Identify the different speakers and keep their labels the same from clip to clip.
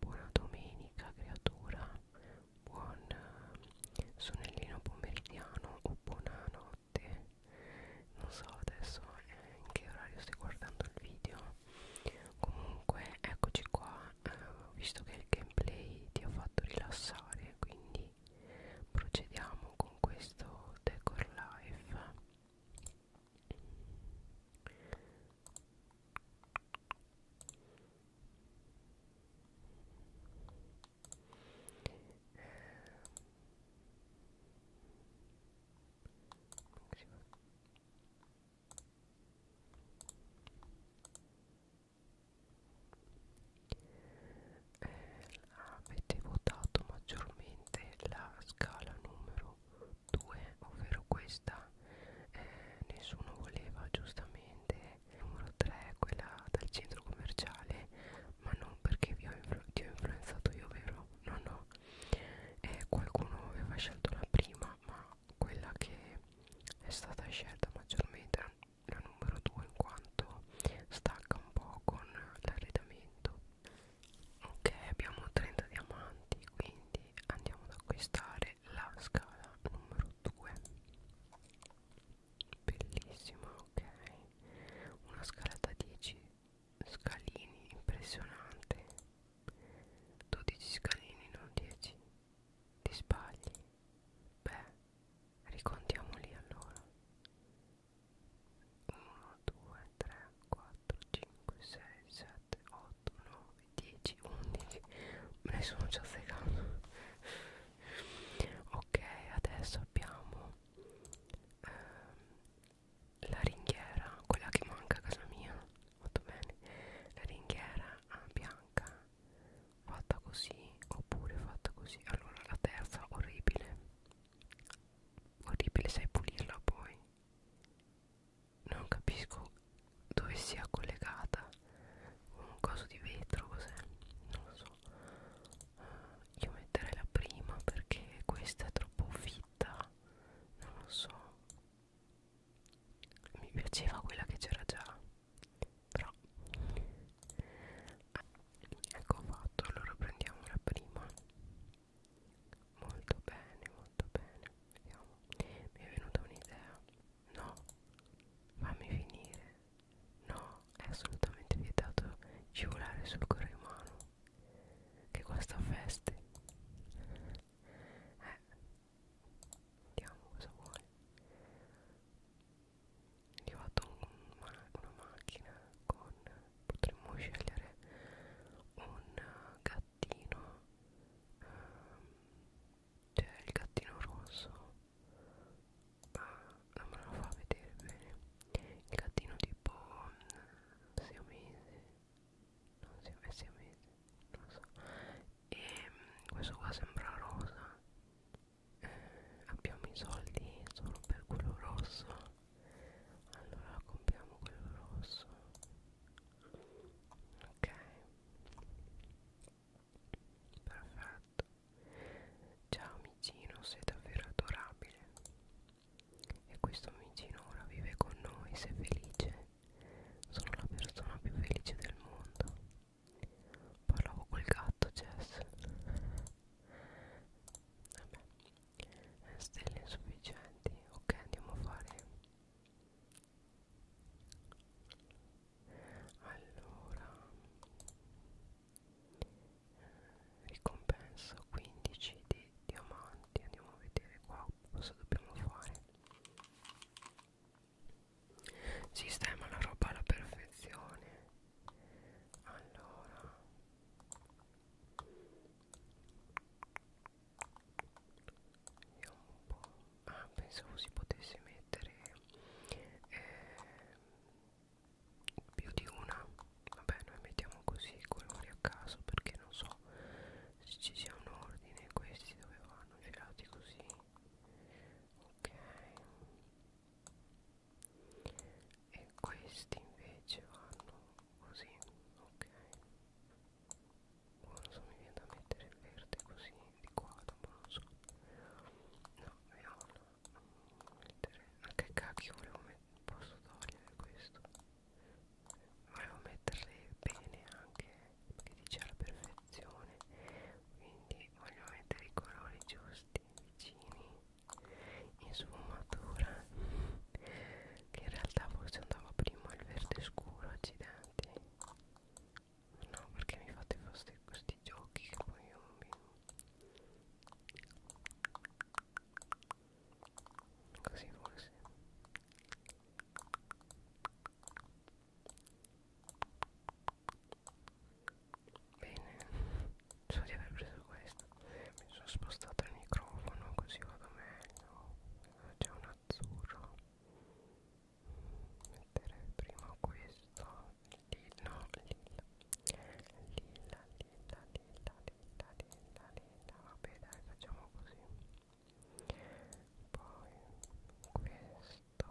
Speaker 1: Buona domenica creatura, buon eh, sonnellino pomeridiano o buonanotte. Non so adesso eh, in che orario stai guardando il video. Comunque eccoci qua, eh, visto che il gameplay ti ha fatto rilassare, quindi procediamo con questo decor live eh, avete votato maggiormente la scala numero numero 2 ovvero questa eh, nessuno voleva giustamente numero 3 quella dal centro commerciale ma non perché vi ho ti ho influenzato io vero no no eh, qualcuno aveva scelto la prima ma quella che è stata scelta maggiormente la numero 2 in quanto stacca un po' con l'arredamento ok abbiamo 30 diamanti quindi andiamo ad acquistare la scala numero 2 bellissima ok una scala da 10 scalini impressionante 12 scalini non 10 ti sbagli beh ricontiamoli allora 1 2 3 4 5 6 7 8 9 10, 11 me ne sono già segato ok adesso abbiamo ehm, la ringhiera quella che manca a casa mia molto bene la ringhiera ah, bianca fatta così oppure fatta così allora la terza orribile orribile sai pulirla poi non capisco dove sia collegata un coso di vetro cos'è non lo so io metterei la prima perché questa è troppo fitta non lo so mi piaceva quella che c'era già però ecco fatto allora prendiamo la prima molto bene molto bene Vediamo Mi è venuta un'idea No Fammi finire No È assolutamente vietato scivolare sul corrimano Che guasta feste Eh Vediamo cosa vuole Io ho fatto un, una macchina con Potremmo scegliere un gatto gattino ehm, cioè il gattino rosso ah, non me lo fa vedere bene il gattino tipo siamese non siamese eh, siamese non so e ehm, questo qua sembra rosa eh, abbiamo i soldi solo per quello rosso allora compriamo quello rosso ok perfetto ciao amicino sei davvero adorabile e questo amicino ora vive con noi sei felice sono la persona più felice del mondo parlavo col gatto Jess vabbè stelle insufficienti ok andiamo a fare allora ricompensa 15 di diamanti andiamo a vedere qua cosa dobbiamo fare sistema la roba alla perfezione allora io un po'... Ah, pensavo si potesse mettere eh, più di una. Vabbè, noi mettiamo così i colori a caso perché non so se ci sia un ordine. Questi dove vanno girati così. Ok. E questi invece vanno così. Ok non so mi viene da mettere il verde così di qua dopo non so no viola non mettere ma che cacchio volevo mettere posso togliere questo volevo metterle bene anche perché dice alla perfezione quindi voglio mettere i colori giusti vicini in sfumatura che in realtà forse andava prima il verde scuro accidenti No perché mi fate fare questi giochi che poi io mi... Così forse Bene, so di aver preso questo Mi sono spostato il microfono così vado meglio C'è un azzurro mettere prima questo lilla lilla lilla lilla lilla lilla lilla lilla vabbè dai facciamo così poi questo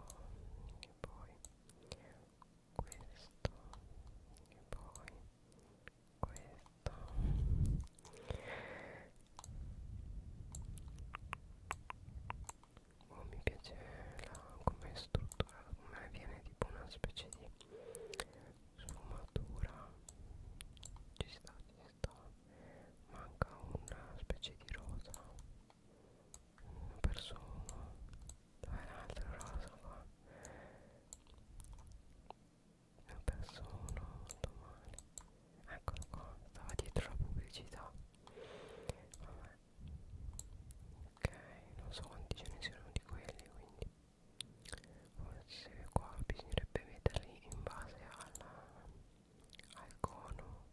Speaker 1: e poi questo e poi questo Oh, mi piace come è strutturata, come viene tipo una specie di sfumatura. Ci sta, ci sta. Manca una specie di rosa. Una persona. Dove è l'altra rosa qua? Una persona, molto male eccolo qua stava dietro la pubblicità Vabbè. ok non so quanti ce ne siano di quelli quindi forse qua bisognerebbe metterli in base alla, al cono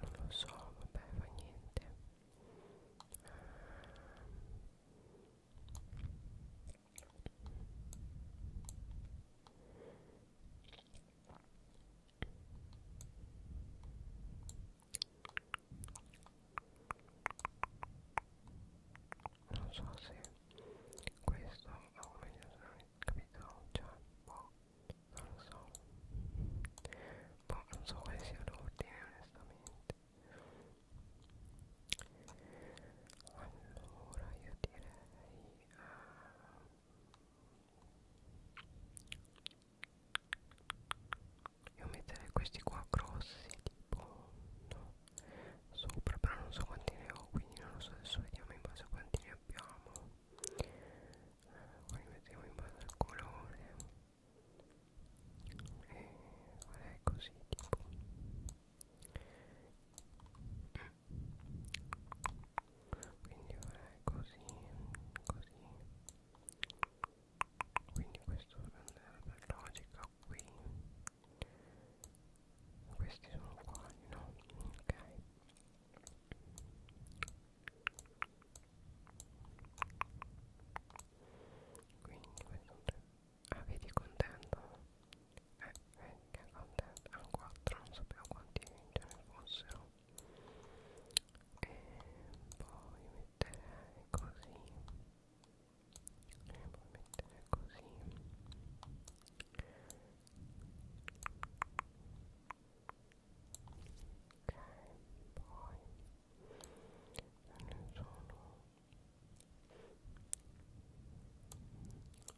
Speaker 1: non lo so vabbè fa niente non so se questo ma come capito cioè boh non lo so boh non so quale sia l'ordine onestamente allora io direi uh, io metterei questi qua grossi tipo no, sopra però non so quanti ne ho quindi non lo so adesso vediamo in base a quanti ne abbiamo poi eh, li mettiamo in base al colore e eh, farei così tipo mm quindi ora è così così quindi questo andrà per logica qui questi sono uguali no ok quindi questo ah vedi contento eh che contento ah, erano 4 non sapevo quanti ce ne fossero e poi mettere così e poi mettere così ok poi ne sono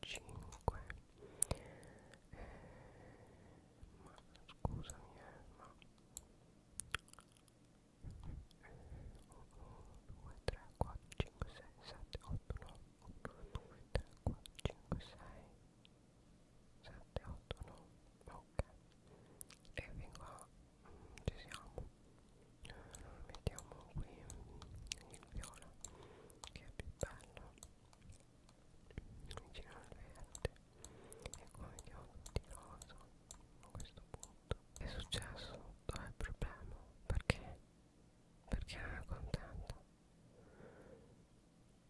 Speaker 1: 5 eh, ma scusami eh, ma 1 2 3 4 5 6 7 8 9 1 2 3 4 5 6 7 8 9 ok e vengo a ci siamo allora mettiamo qui il viola che è più bello vicino alla verde e come chiodo di rosa a questo punto è successo dov'è il problema perché perché non è contento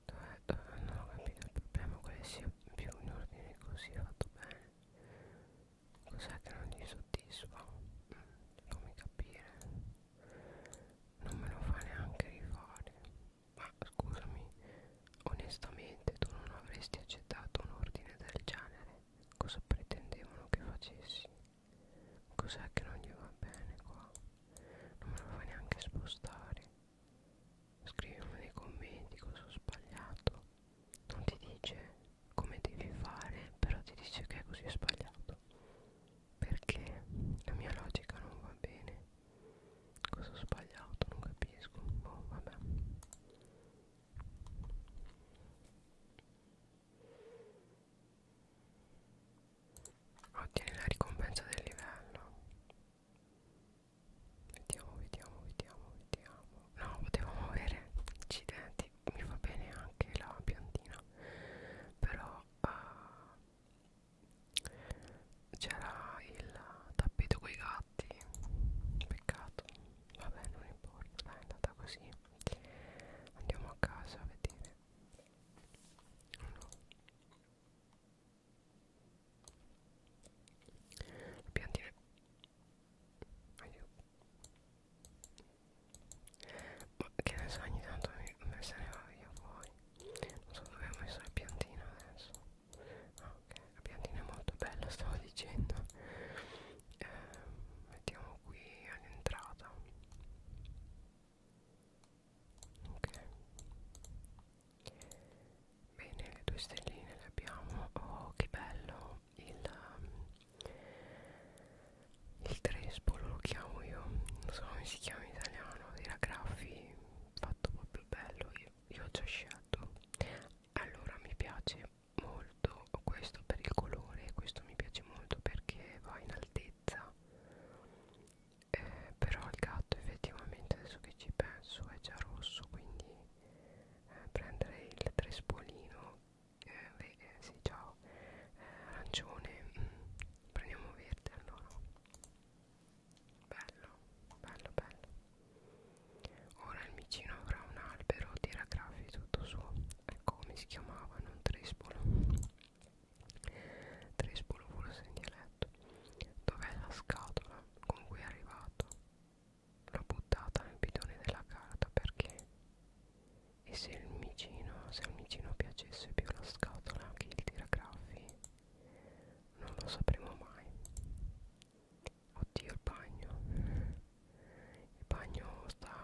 Speaker 1: dov'è dov non ho capito il problema quale sia più in ordine così fatto bene cos'è che non gli soddisfa mm, fammi capire non me lo fa neanche rifare ma scusami onestamente tu non avresti accettato un ordine del genere cosa pretendevano che facessi cos'è che non gli va bene qua non me lo fa neanche spostare scrivimi nei commenti cosa ho sbagliato non ti dice come devi fare però ti dice che è così sbagliato perché la mia logica non va bene cosa ho sbagliato non capisco boh vabbè ottieni la ricompensa del livello vediamo vediamo vediamo vediamo no potevo muovere accidenti mi va bene anche la piantina però uh, c'era il tappeto coi gatti peccato vabbè non importa dai è andata così andiamo a casa a vedere no. piantine aiuto ma che ne so ogni tanto mi, me se ne va via fuori non so dove ho messo la piantina adesso ah, ok la piantina è molto bella stavo dicendo eh, mettiamo qui all'entrata ok bene le due stelline le abbiamo oh che bello il um, il trespolo lo chiamo io non so come si chiama in italiano sono dei raggraffi fatto proprio bello io, io ho già scelto allora mi piace molto questo per il colore questo mi piace molto perché va in altezza eh, però il gatto effettivamente adesso che ci penso è già rosso quindi eh, prenderei il trespolino eh, eh, sì ciao eh, arancione mm, prendiamo verde allora Bello, bello, bello. Ora il micino avrà un albero, tira graffi tutto suo. Ecco come si chiamava, non Trespolo. Trespolo forse in dialetto. Dov'è la scatola con cui è arrivato? L'ho buttata nel bidone della carta perché... E se il micino, se il micino piaceva? piacesse più la scatola anche il tiragraffi non lo sapremo mai oddio il bagno il bagno sta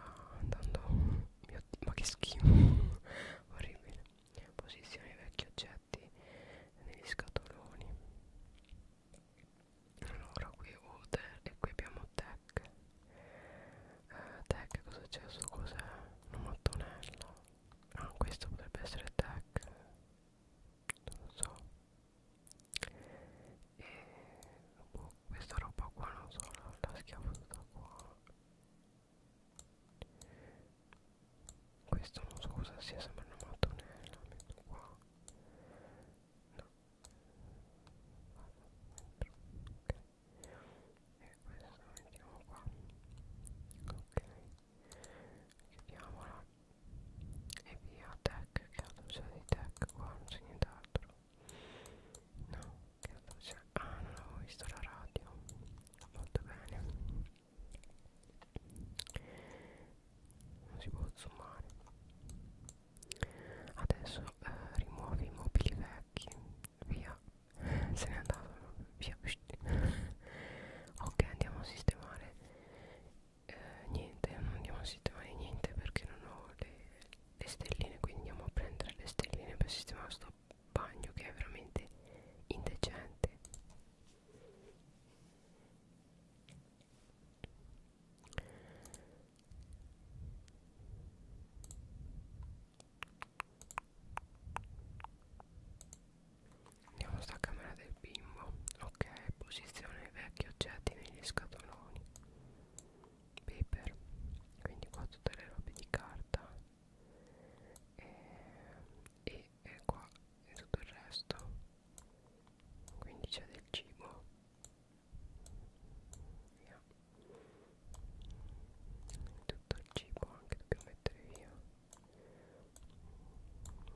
Speaker 1: andando mio Dio, ma che schifo orribile posizione vecchi oggetti negli scatoloni allora qui Water e qui abbiamo Tech eh, Tech cosa c'è su cos'è? Una mattonella ah questo potrebbe essere attack non so e boh, questa roba qua non so la, la schiavo tutta qua questo non so cosa sia sembra una mattonella metto qua no Vado dentro, ok e questo lo mettiamo qua ok chiudiamola e via tech che altro c'è di tech qua non c'è nient'altro no che altro c'è ah non avevo visto la radio molto bene non si può zoomare adesso eh, rimuovi i mobili vecchi via se n'è andato via ok andiamo a sistemare eh, niente non andiamo a sistemare niente perché non ho le, le stelline quindi andiamo a prendere le stelline per sistemare sto bagno che è veramente indecente Andiamo sta camera del bimbo. Ok, posizione vecchi oggetti negli scatoloni. Paper. Quindi qua tutte le robe di carta. E, e, e qua e tutto il resto. Quindi c'è del cibo. Via. Tutto il cibo anche dobbiamo mettere via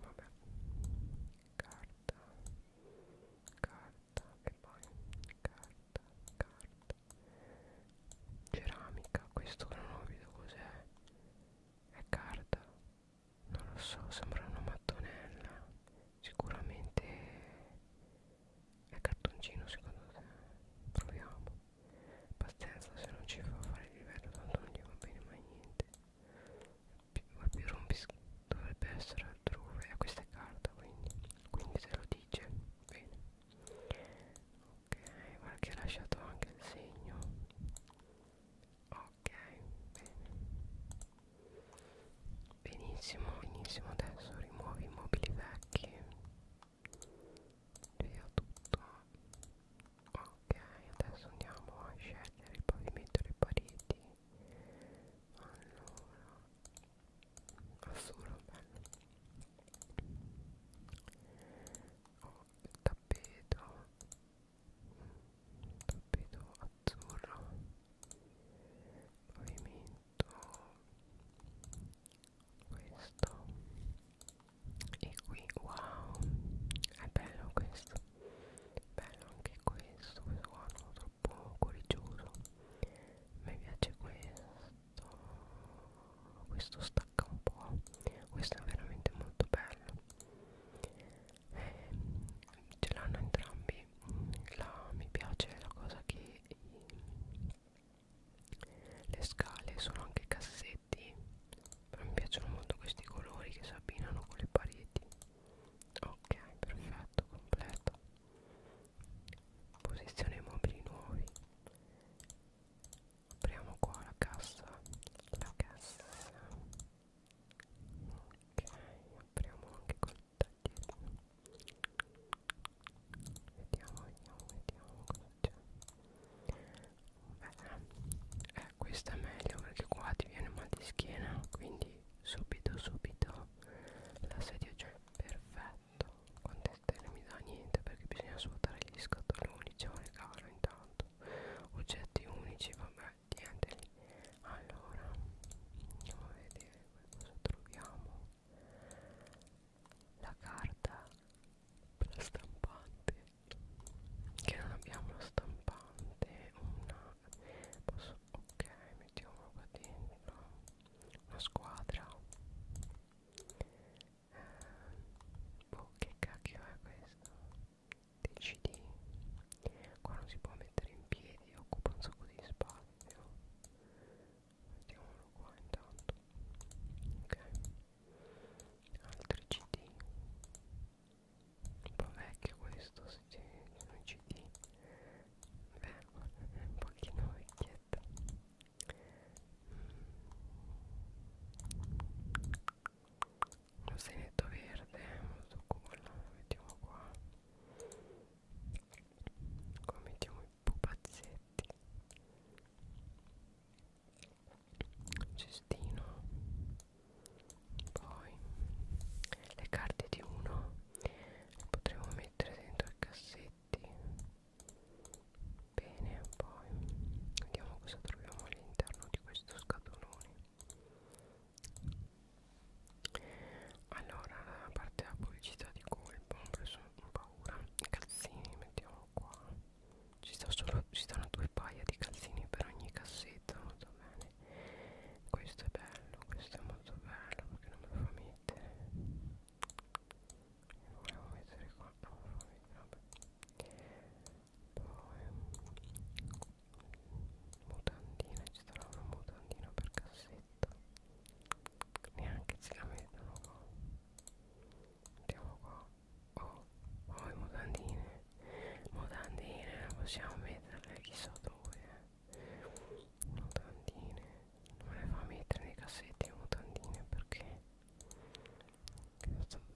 Speaker 1: vabbè carta carta e poi carta carta ceramica questo non ho visto cos'è è carta non lo so sembra una mattonella sicuramente è cartoncino secondo te proviamo Pazienza se non ci fa fare il livello tanto non gli va bene mai niente il più rompis dovrebbe essere altrove e questa è carta quindi quindi se lo dice bene ok guarda che ha lasciato anche il segno ok bene benissimo benissimo adesso rimuovi i mobili vecchi via tutto ok adesso andiamo a scegliere il pavimento e le pareti allora azzurro bello oh, il tappeto tappeto azzurro pavimento questo e qui wow è bello questo bello anche questo questo qua non troppo boh, coricioso mi piace questo questo stacca un po' questo è veramente molto bello eh, ce l'hanno entrambi mm, la, mi piace la cosa che le scale sono anche cassetti però mi piacciono molto questi colori che si abbinano con le pareti ok perfetto completo posizione mobili nuovi apriamo qua la cassa la cassa ok apriamo anche col taglietto vediamo vediamo vediamo cosa cioè. Beh, eh, questa è meglio perché qua ti viene mal di schiena quindi subito subito la sedia già è cioè, perfetto quante stelle mi dà niente perché bisogna svuotare gli scatoloni c'è un regalo intanto oggetti unici vabbè niente lì allora andiamo a vedere cosa troviamo la carta per la stampante che non abbiamo la stampante una posso, ok mettiamolo qua dentro una squadra eh, boh che cacchio è questo decidi qua non si può mettere in piedi occupa un sacco di spazio mettiamolo qua intanto ok altri cd un po' vecchio questo sì, un cd beh è un pochino vecchietto un senetto verde molto cool mettiamo qua qua mettiamo i pupazzetti cestino poi le carte di uno le potremo mettere dentro i cassetti bene poi vediamo cosa troviamo all'interno di questo scatolone allora a parte la pubblicità di colpo ho preso paura calzini mettiamo euro qua ci, sta solo, ci stanno due paia di calzini per ogni cassetta molto bene questo è bello questo è molto bello perché non me lo fa mettere lo volevo mettere qua non me lo fa mettere vabbè poi mutandina ci sarà una mutandina per cassetta neanche se la mettono qua andiamo qua oh, oh le mutandine mutandine possiamo metterle eh, chissà dove eh. mutandine non le fa mettere nei cassetti le mutandine perché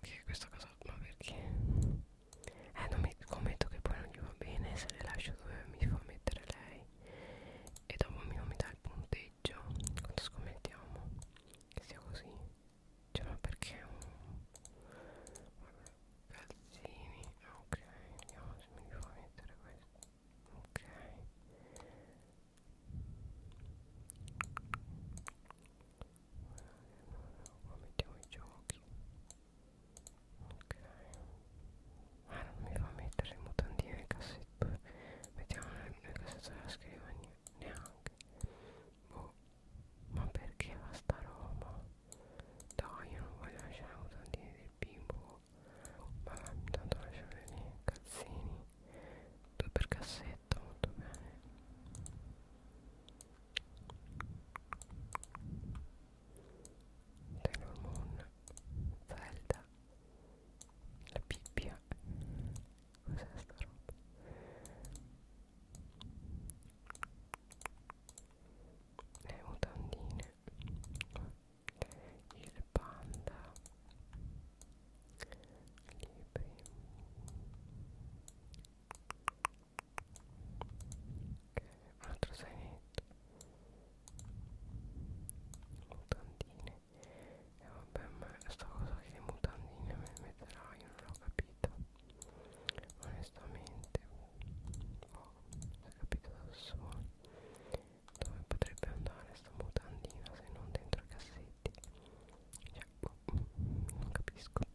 Speaker 1: che questa cosa ma perché eh non mi commetto che poi non gli va bene se le lascio dove mi fa mettere lei e dopo mi non mi dà il punteggio quanto scommettiamo che sia così cioè ma perché Calzini Ok vediamo se mi fa mettere questo Ok Qua mettiamo i giochi Ok Ah non mi fa mettere le mutandine nel cassetto Mettiamo nel cassetto della scrivania Neanche boh, ma perché va sta roba? Dai, io non voglio lasciare un tantino del bimbo. Ma intanto lasciare lì, cazzini. Due per cassetta, molto bene. Taylor Moon, Zelda, la Bibbia Cos'è sta roba? Le mutandine il panda libri un altro sainetto mutandine e vabbè ma sta cosa che le mutandine me le metterai non l'ho capita Onestamente Boh, l'ho capito da solo Dove potrebbe andare sta mutandina se non dentro i cassetti Cioè, boh, non capisco le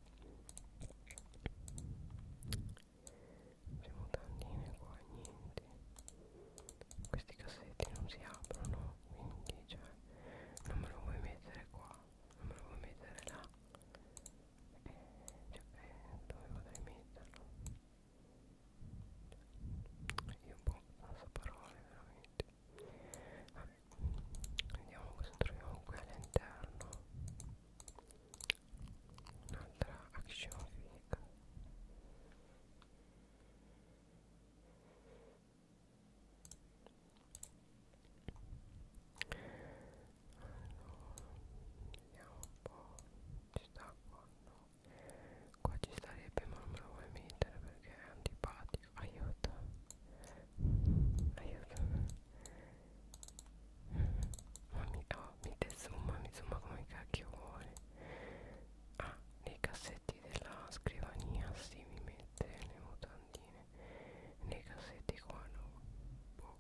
Speaker 1: mutandine qua niente questi cassetti non si aprono quindi cioè non me lo vuoi mettere qua non me lo vuoi mettere là eh, cioè, eh, dove potrei metterlo io un po' non so parole veramente vabbè vediamo cosa troviamo qui all'interno un'altra action figure vediamo un po' ci sta qua no qua ci starebbe ma non me lo vuoi mettere perché è antipatico aiuto aiuto ma mi, oh, mi desumma mi zooma come cacchio vuole ah nei cassetti della scrivania si sì, mi mette le mutandine nei cassetti qua no boh,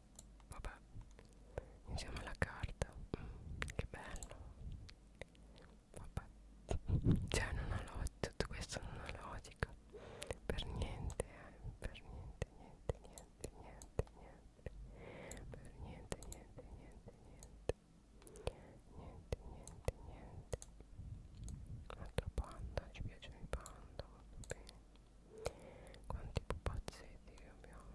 Speaker 1: vabbè insieme alla carta mm, che bello vabbè cioè non ha logica tutto questo non ha logica per niente eh. per niente niente niente niente niente per niente niente niente niente niente niente niente un'altra panda ci piacciono i panda molto bene quanti pupazzetti che abbiamo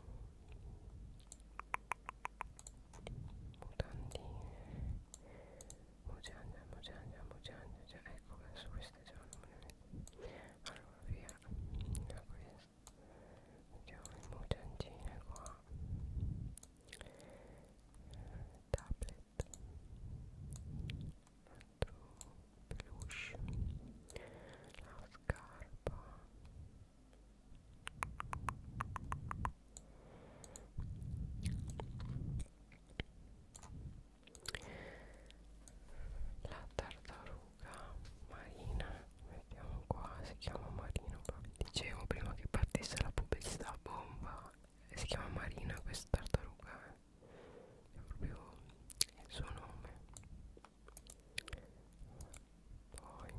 Speaker 1: mutandine mugiagna mugiagna mugiagna cioè, ecco adesso queste già non me ne metto allora via da questa mettiamo le mugiangine qua tablet palette un altro peluche la scarpa la tartaruga marina mettiamo qua si chiama marino dicevo prima che partisse la pubblicità bomba si chiama marina questa tartaruga è proprio il suo nome poi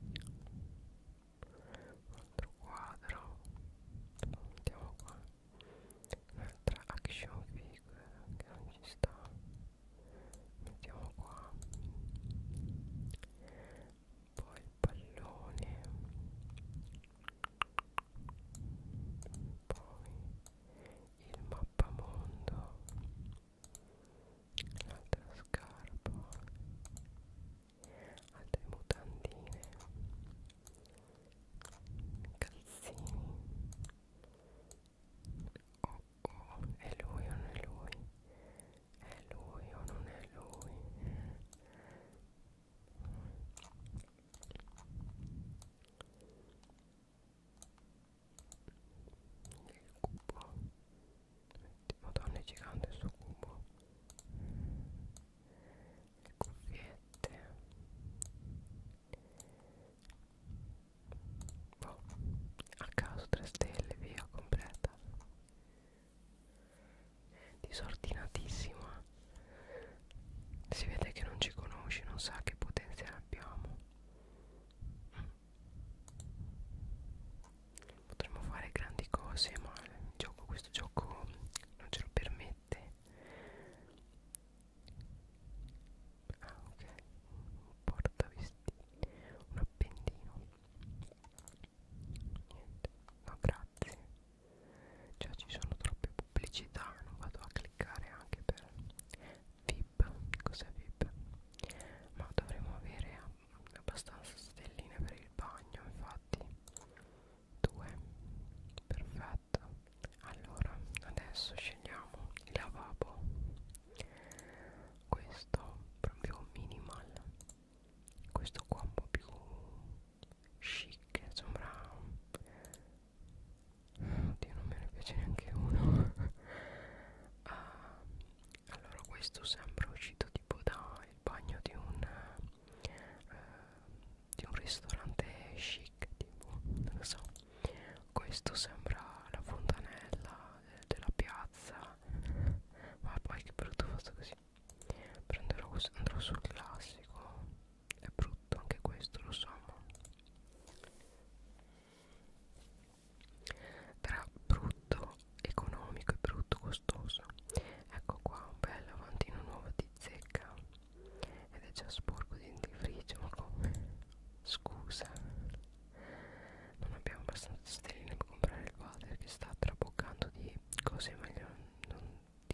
Speaker 1: un altro quadro andiamo qua un'altra action figure che non ci sta mettiamo qua poi il pallone poi il mappamondo l'altra scarpa altre mutandine calzini oh oh è lui o non è lui è lui o non è lui il cubo madonna è gigante sto cubo le cuffiette boh a caso 3 stelle via completa disordinatissima si vede che non ci conosce non sa che potenziale abbiamo potremmo fare grandi cose ma il gioco, questo gioco non ce lo permette ah ok un portavestiti un appendino niente no grazie Già cioè, ci sono troppe pubblicità, non vado a cliccare anche per VIP. Cos'è VIP? Ma dovremmo avere abbastanza stelline per il bagno, infatti. Due. Perfetto. Allora, adesso scegliamo il lavabo. Questo proprio minimal questo qua un po' più chic sembra oddio non me ne piace neanche uno ah, allora questo sembra uscito tipo dal bagno di un eh, di un ristorante chic tipo non so questo sembra la fontanella de eh, della piazza ma poi che brutto fatto così Prenderò questo, andrò sul classico. È brutto anche questo, lo so. Tra brutto economico e brutto costoso. Ecco qua un bel lavandino nuovo di zecca. Ed è già sporco di dentifricio, ma come? Scusa. Non abbiamo abbastanza stelline per comprare il water che sta traboccando di cose meglio non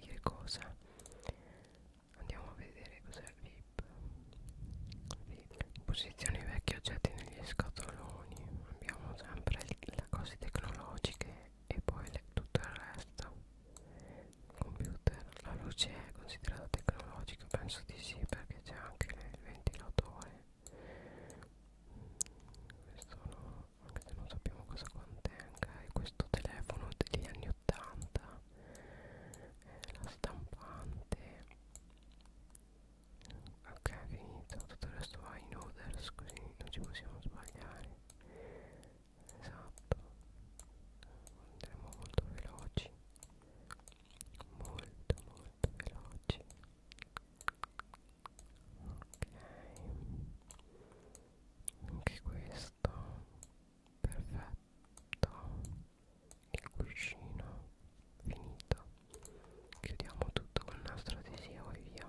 Speaker 1: dire cosa andiamo a vedere cos'è il VIP Posizioni vecchi oggetti negli scatoloni abbiamo sempre le cose tecnologiche e poi le, tutto il resto il computer la luce è considerata tecnologica penso di sì perché c'è anche il ventilatore questo no anche se non sappiamo cosa contenga e questo telefono degli anni 80 eh, la stampante ok finito tutto il resto va in orders così non ci possiamo sbagliare esatto andremo molto veloci molto molto veloci ok anche questo questo perfetto il cuscino finito chiudiamo tutto con una strategia e via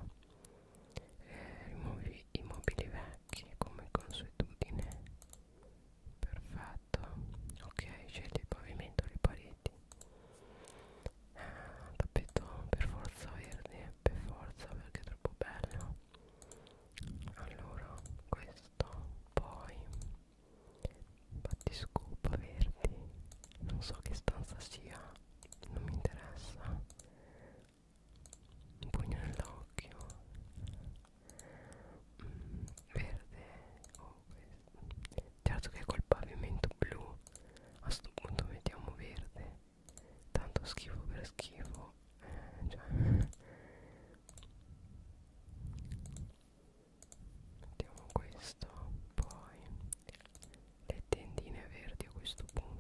Speaker 1: eh, rimuovi i mobili vecchi come consuetudine perfetto ok scegli il pavimento le pareti eh, tappeto per forza verde per forza perché è troppo bello allora questo poi battiscopa verdi non so che stanza sia non mi interessa un pugno nell'occhio mm, verde oh, certo che col pavimento blu a sto punto mettiamo verde tanto schifo per schifo eh, cioè. mettiamo questo poi le tendine verdi a questo punto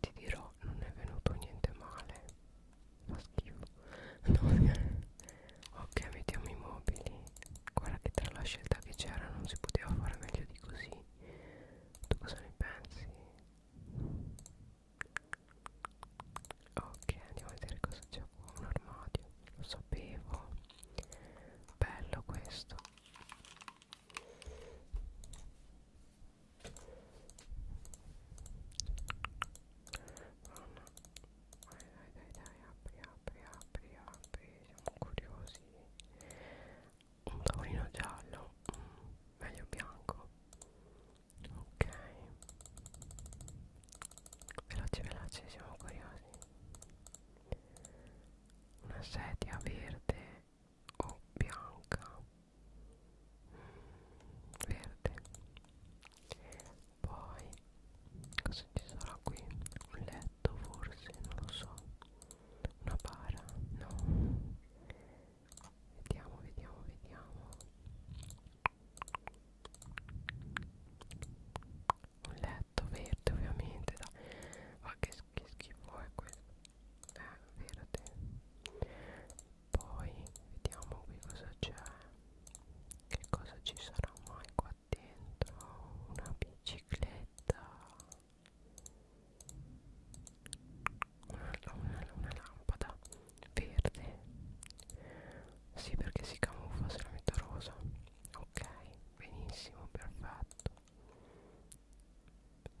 Speaker 1: ti dirò non è venuto niente male fa schifo no, eh. ok mettiamo i mobili guarda che tra la scelta che c'era non si poteva fare meglio di così tu cosa ne pensi? ok andiamo a vedere cosa c'è qua un armadio lo sapevo bello questo Madonna. Dai, dai, dai, dai, apri, apri, apri, apri. Siamo curiosi. Un tavolino giallo. Mm, meglio bianco. Ok. Veloce, veloce, siamo curiosi. Una sedia verde o bianca verde poi cosa ci sarà qui un letto forse non lo so una bara no vediamo vediamo vediamo un letto verde ovviamente da ma che, che schifo è questo eh, verde poi vediamo qui cosa c'è che cosa ci sarà mai qua dentro una bicicletta una, una, una lampada verde sì perché si camuffa se la metto rosa ok benissimo perfetto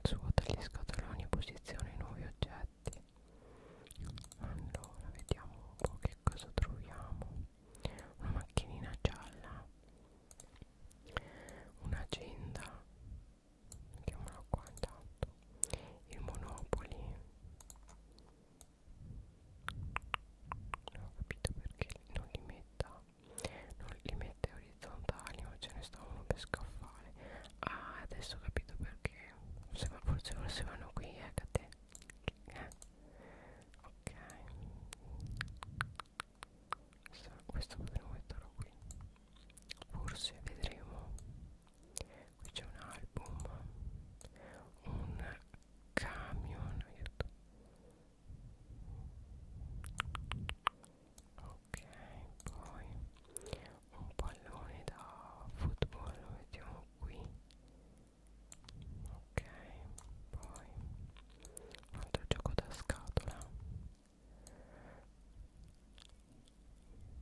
Speaker 1: Svuota gli scatoloni e posiziona i nuovi oggetti. Allora, vediamo un po' che cosa troviamo. Una macchinina gialla, un'agenda, mettiamola qua intanto, il Monopoli. Non ho capito perché non li metta, non li mette orizzontali ma ce ne sta uno per scaffale ah adesso ho capito perché se, forse forse vanno qui eccate eh, eh, ok so, questo potremmo metterlo qui forse vedremo qui c'è un album un camion aiuto ok poi un pallone da football lo mettiamo qui ok poi un altro gioco da scatola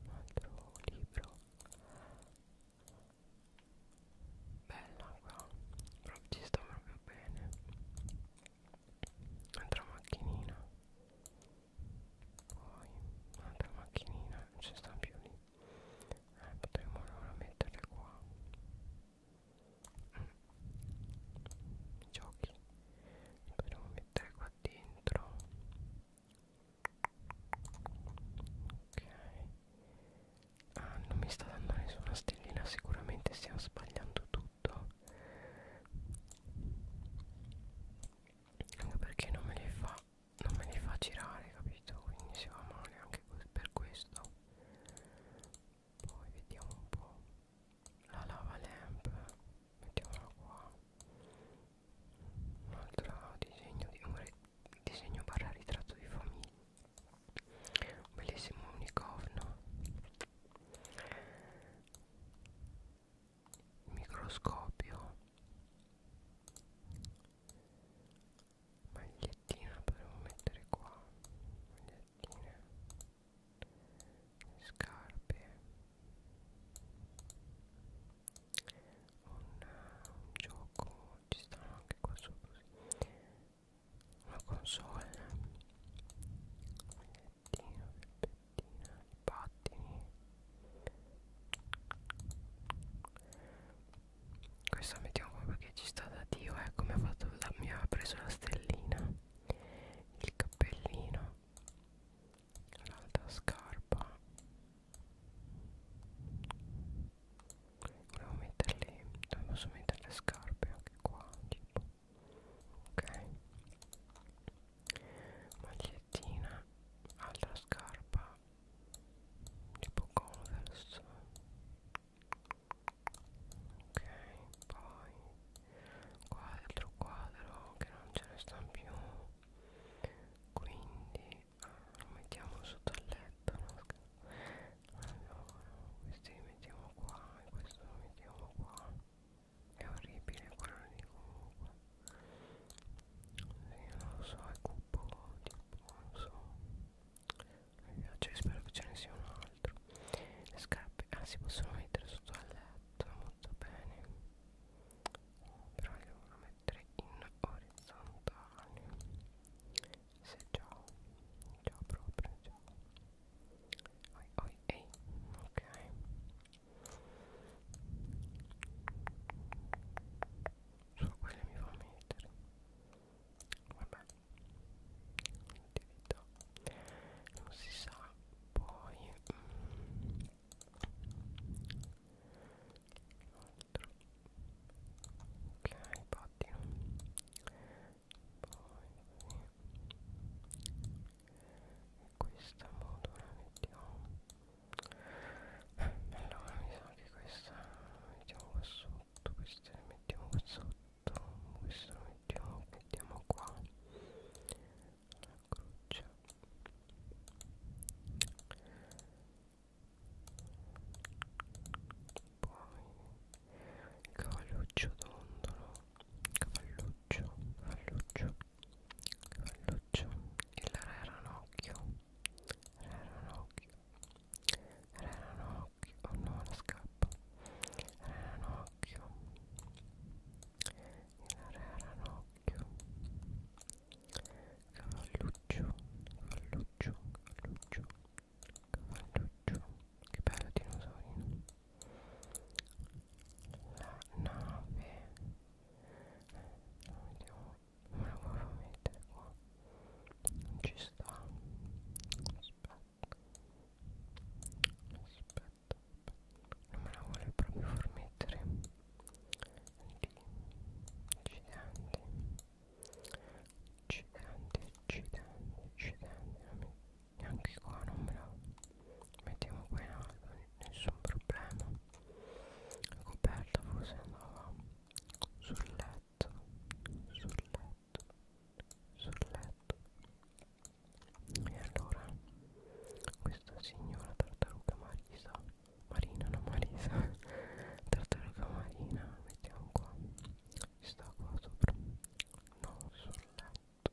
Speaker 1: un altro libro bella qua proprio ci sta proprio bene un'altra macchinina poi un'altra macchinina non ci sta più lì eh, potremmo allora metterle qua i giochi li potremmo mettere qua dentro ok ah non mi sta dando nessuna stellina sicuramente stiamo sbagliando tutto anche perché non me li fa non me li fa girare capito quindi si va male anche per questo poi vediamo un po' la lava lamp mettiamola qua un altro disegno di un disegno barra ritratto di famiglia un bellissimo unicorno microscopio magliettina potremmo mettere qua magliettine scarpe un, un gioco ci stanno anche qua sopra una console magliettina per palettina, i pattini questa mettiamo come perché ci sta da dio ecco eh, mi ha, fatto la, mi ha preso la stellina il cappellino l'altra scarpa volevo metterle dove posso mettere le scarpe anche qua tipo ok maglia magliettina altra scarpa tipo converse ok poi quadro quadro che non ce ne stanno più quindi ah, lo mettiamo sotto il letto no? allora questi li mettiamo qua e questo lo mettiamo qua è orribile quello lì comunque sì, non lo so è cupo tipo non lo so mi cioè, piace spero che ce ne sia un altro le scarpe ah si possono mettere sotto al letto molto bene però le devo mettere in orizzontale se già già proprio già oi oi ehi ok Solo quelle mi fa mettere. Vabbè, attività. Non si sa poi. Mm. Altro. Ok, pattino. Poi questa moto la mettiamo eh, allora mi sa che questa la mettiamo qua sotto questa la mettiamo qua sotto questa la mettiamo mettiamo qua la croce poi il cavalluccio d'ondolo cavalluccio cavalluccio Falluccio, il re ranocchio, re ranocchio, re ranocchio, oh no la scappa, re ranocchio, il re ranocchio, cavalluccio, cavalluccio, cavalluccio, cavalluccio, che bello dinosaurino, la nave, vediamo come la volevo mettere qua non ci sta aspetta aspetta non me la vuole proprio far mettere accidenti accidenti accidenti accidenti neanche qua non me la mettiamo qui in alto nessun problema la coperta forse andava sul letto sul letto sul letto e allora questa signora tartaruga marisa marina no marisa tartaruga marina mettiamo qua sta qua sopra no sul letto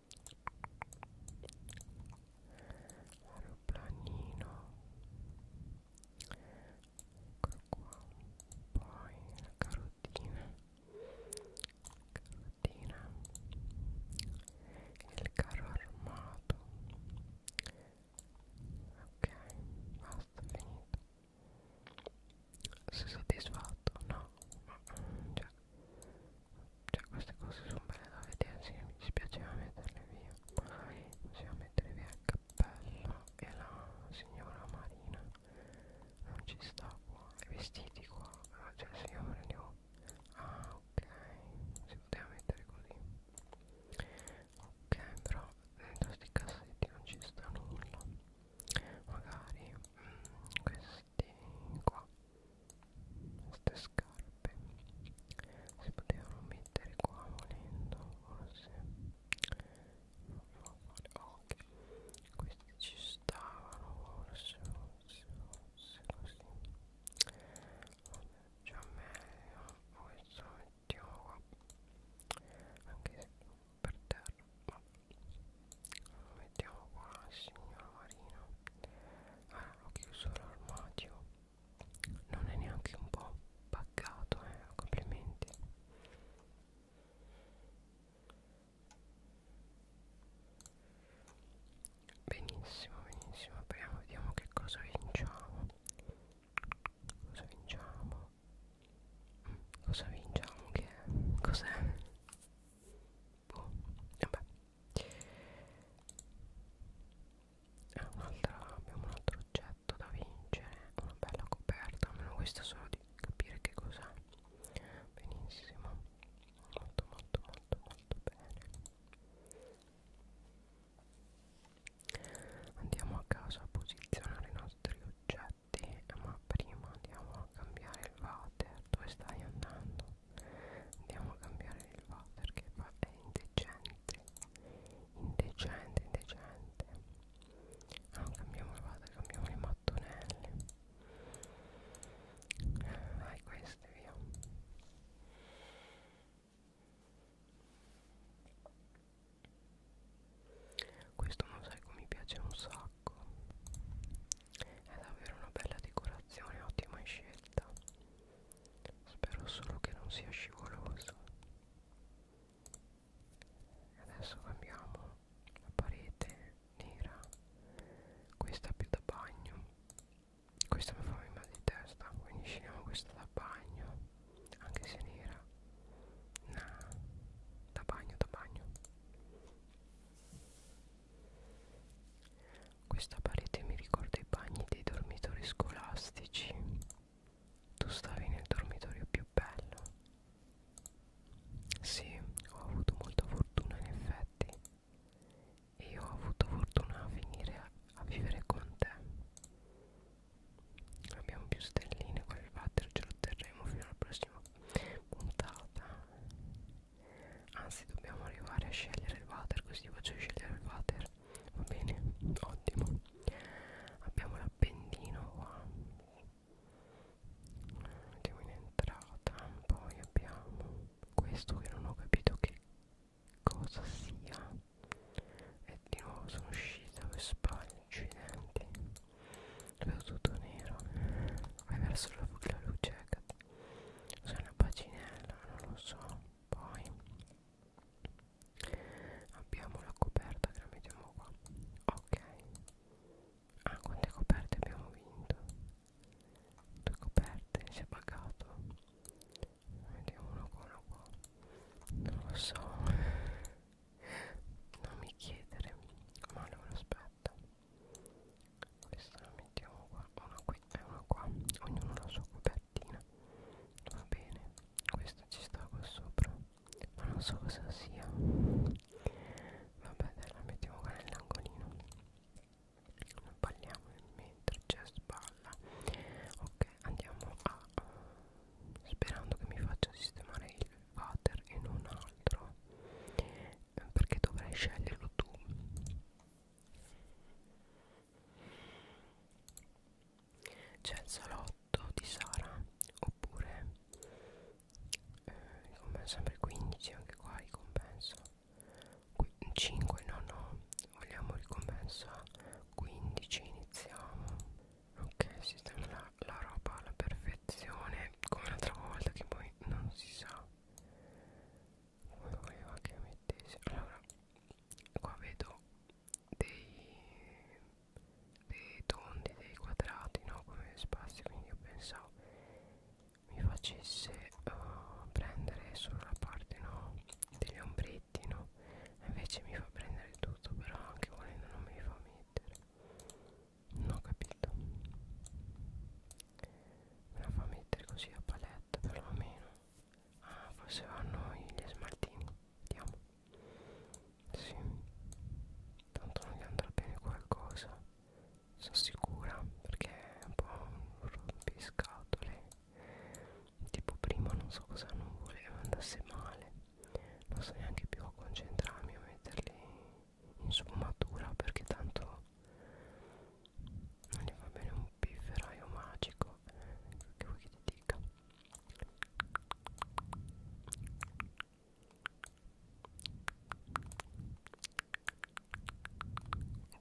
Speaker 1: aeroplanino ecco qua poi la carotina carotina il carro armato ok basta finito sei soddisfatto no ma cioè cioè queste cose sono belle da vedere sì, mi dispiaceva metterle via magari bisogna mettere via il cappello e la signora Marina non ci sta qua i vestiti qua ah, cioè se io prendevo ah ok si poteva mettere così ok però dentro sti cassetti non ci sta nulla magari mm, questi questi qua queste scarpe si potevano mettere qua volendo forse non lo fare ok questi ci stavano forse forse forse così vabbè già meglio questo lo mettiamo qua anche se per terra vabbè lo mettiamo qua signora Marina allora ah, l'ho chiuso l'armadio non è neanche un po' paccato eh complimenti benissimo benissimo apriamo vediamo che cosa vinciamo cosa vinciamo mm, cosa vinciamo che cos'è boh, vabbè ah, un'altra abbiamo un altro oggetto da vincere una bella coperta almeno questa solo di capire che cos'è benissimo molto molto molto molto bene andiamo a casa a posizionare i nostri oggetti ma prima andiamo a cambiare il water dove stai andando andiamo a cambiare il va perché va è indecente indecente indecente allora ah, cambiamo il vada cambiamo le mattonelle dai queste via questo mosaico mi piace un sacco tabacco è davvero una bella decorazione ottima scelta spero solo che non sia scivoloso adesso cambiamo la parete nera questa è più da bagno questa mi fa venire mal di testa quindi scegliamo questa da bagno anche se nera nah, da bagno da bagno questa parete mi ricorda i bagni dei dormitori scolastici. Tu stavi nel dormitorio più bello. Sì, ho avuto molta fortuna in effetti. E io ho avuto fortuna a finire a, a vivere con te. Abbiamo più stelline, quel water ce lo terremo fino alla prossima puntata. Anzi dobbiamo arrivare a scegliere il water Così faccio scegliere il water Va bene, ottimo Abbiamo l'appendino qua Mettiamo in entrata Poi abbiamo questo che non ho capito che cosa sia E di nuovo sono uscita per sbaglio Accidenti Vedo tutto nero Vai verso la, la luce sono paginella non lo so poi abbiamo la coperta che la mettiamo qua ok ah quante coperte abbiamo vinto due coperte si è pagato vediamo uno qua uno qua non lo so non mi chiedere ma allora aspetta questa la mettiamo qua una qui e una qua ognuno la sua copertina va bene questa ci sta qua sopra ma non so cosa sia vabbè dai la mettiamo qua nell'angolino non parliamo mentre c'è spalla ok andiamo a uh, sperando che mi faccia sistemare il water e non ha altro perché dovrai sceglierlo tu c'è il salotto di Sara oppure eh, come sempre 15 anche qua ricompensa 5 no no vogliamo ricompensa 15 iniziamo ok sistema la, la roba alla perfezione come l'altra volta che poi non si sa come voleva che mettessi allora qua vedo dei dei tondi dei quadrati no come spazi quindi io pensavo mi facesse uh, prendere solo la parte no degli ombretti no invece mi fa prendere tutto però anche volendo non me li fa mettere non ho capito Me la fa mettere così a paletta perlomeno Ah forse vanno gli smaltini Vediamo Sì Tanto non gli andrà bene qualcosa Sono sicura perché è un po' un rompiscatole Tipo prima non so cosa non volevo andasse male Non so neanche più a concentrarmi a metterli sfumatura perché tanto non gli va bene un pifferaio magico che vuoi che ti dica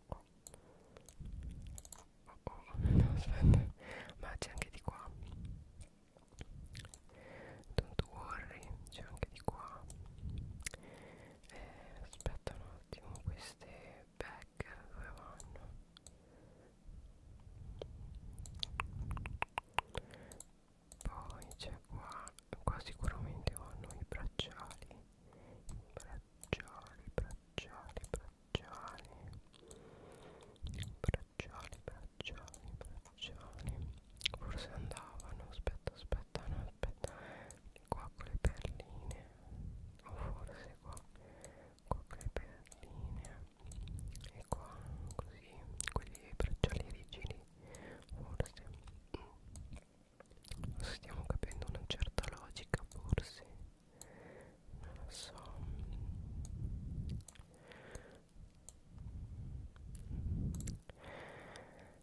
Speaker 1: oh. Oh oh. No, aspetta ma c'è anche di qua don't worry c'è anche di qua eh, aspetta un attimo queste bag dove vanno poi c'è qua qua sicuramente vanno i bracciali bracciali bracciali bracciali bracciali bracciali bracciali forse andavano aspetta aspetta aspetta no aspetta qua con le perline o forse qua qua con le perline e qua così quelli bracciali rigidi forse mm. stiamo capendo una certa logica forse non lo so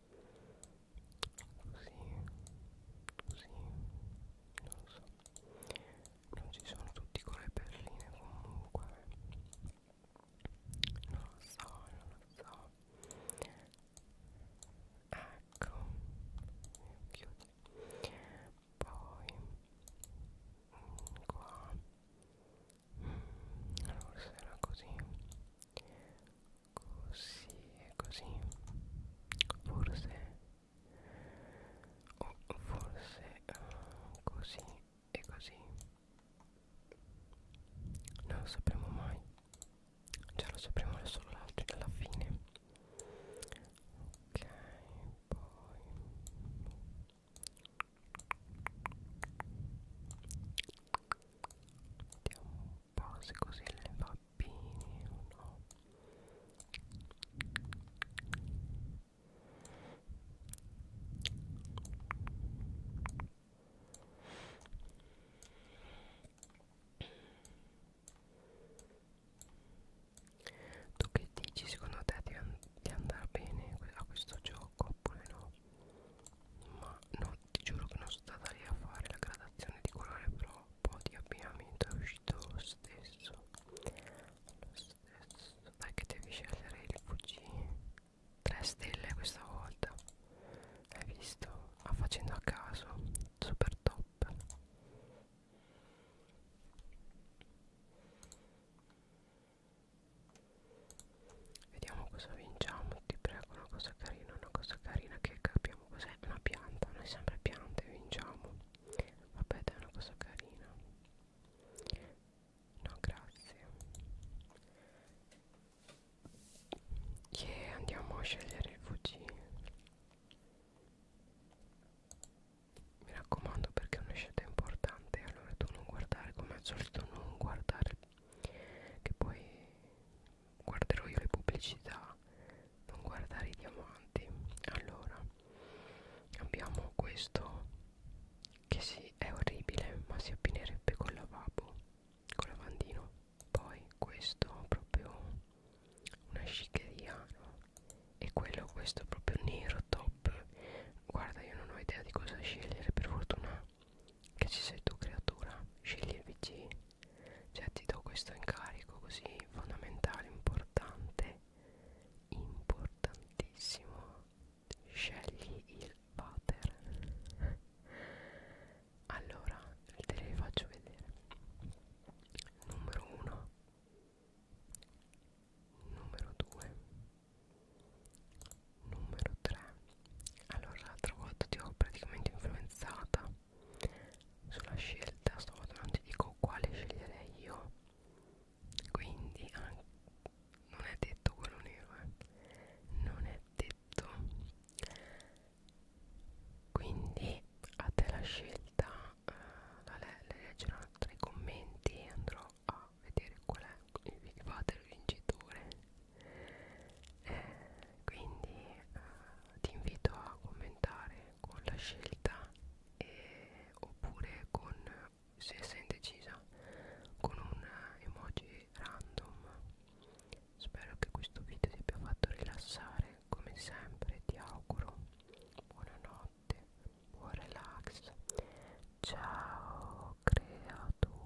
Speaker 1: così così non lo so non ci sono tutti con le perline comunque non lo so non lo so ecco chiudi poi mm, qua mm, allora sarà così così e così forse o oh, forse uh, così e così non lo sapremo mai ce lo sapremo solo alla fine ok poi vediamo base così le bambini o no tu che dici secondo te di, an di andare bene a questo gioco oppure no ma no ti giuro che non sono stata lì a fare la gradazione di colore però po' di abbinamento è uscito lo stesso lo stesso perché devi scegliere il VG 3 stelle questa volta hai visto? ma ah, facendo a caso super top Vediamo cosa vinciamo, ti prego, una cosa carina, una cosa carina che capiamo diciamo cos'è una pianta noi sempre piante vinciamo vabbè dai una cosa carina no grazie yeah, andiamo a scegliere il VG mi raccomando perché è una scelta importante allora tu non guardare come al solito non guardare che poi guarderò io le pubblicità non guardare i diamanti allora abbiamo questo che sì è orribile ma si appinerebbe col lavabo col lavandino poi questo proprio una sciccheria no? e quello questo proprio nero top guarda io non ho idea di cosa scegliere per fortuna che ci sei tu creatura scegli il vg cioè ti do questo incarico così fondamentale importante importantissimo scegli il water allora te le faccio vedere numero 1 numero 2 numero 3 allora l'altra volta ti ho praticamente influenzata sulla scelta stavolta non ti dico quale sceglierei io quindi ah, non è detto quello nero eh. non è detto quindi a te la scelta eh, la le leggerò tra i commenti e andrò a vedere qual è il, il vincitore eh, quindi eh, ti invito a commentare con la scelta e, oppure con se sei indecisa con un emoji random spero che questo video ti abbia fatto rilassare come sempre ti auguro buonanotte buon relax ciao creatura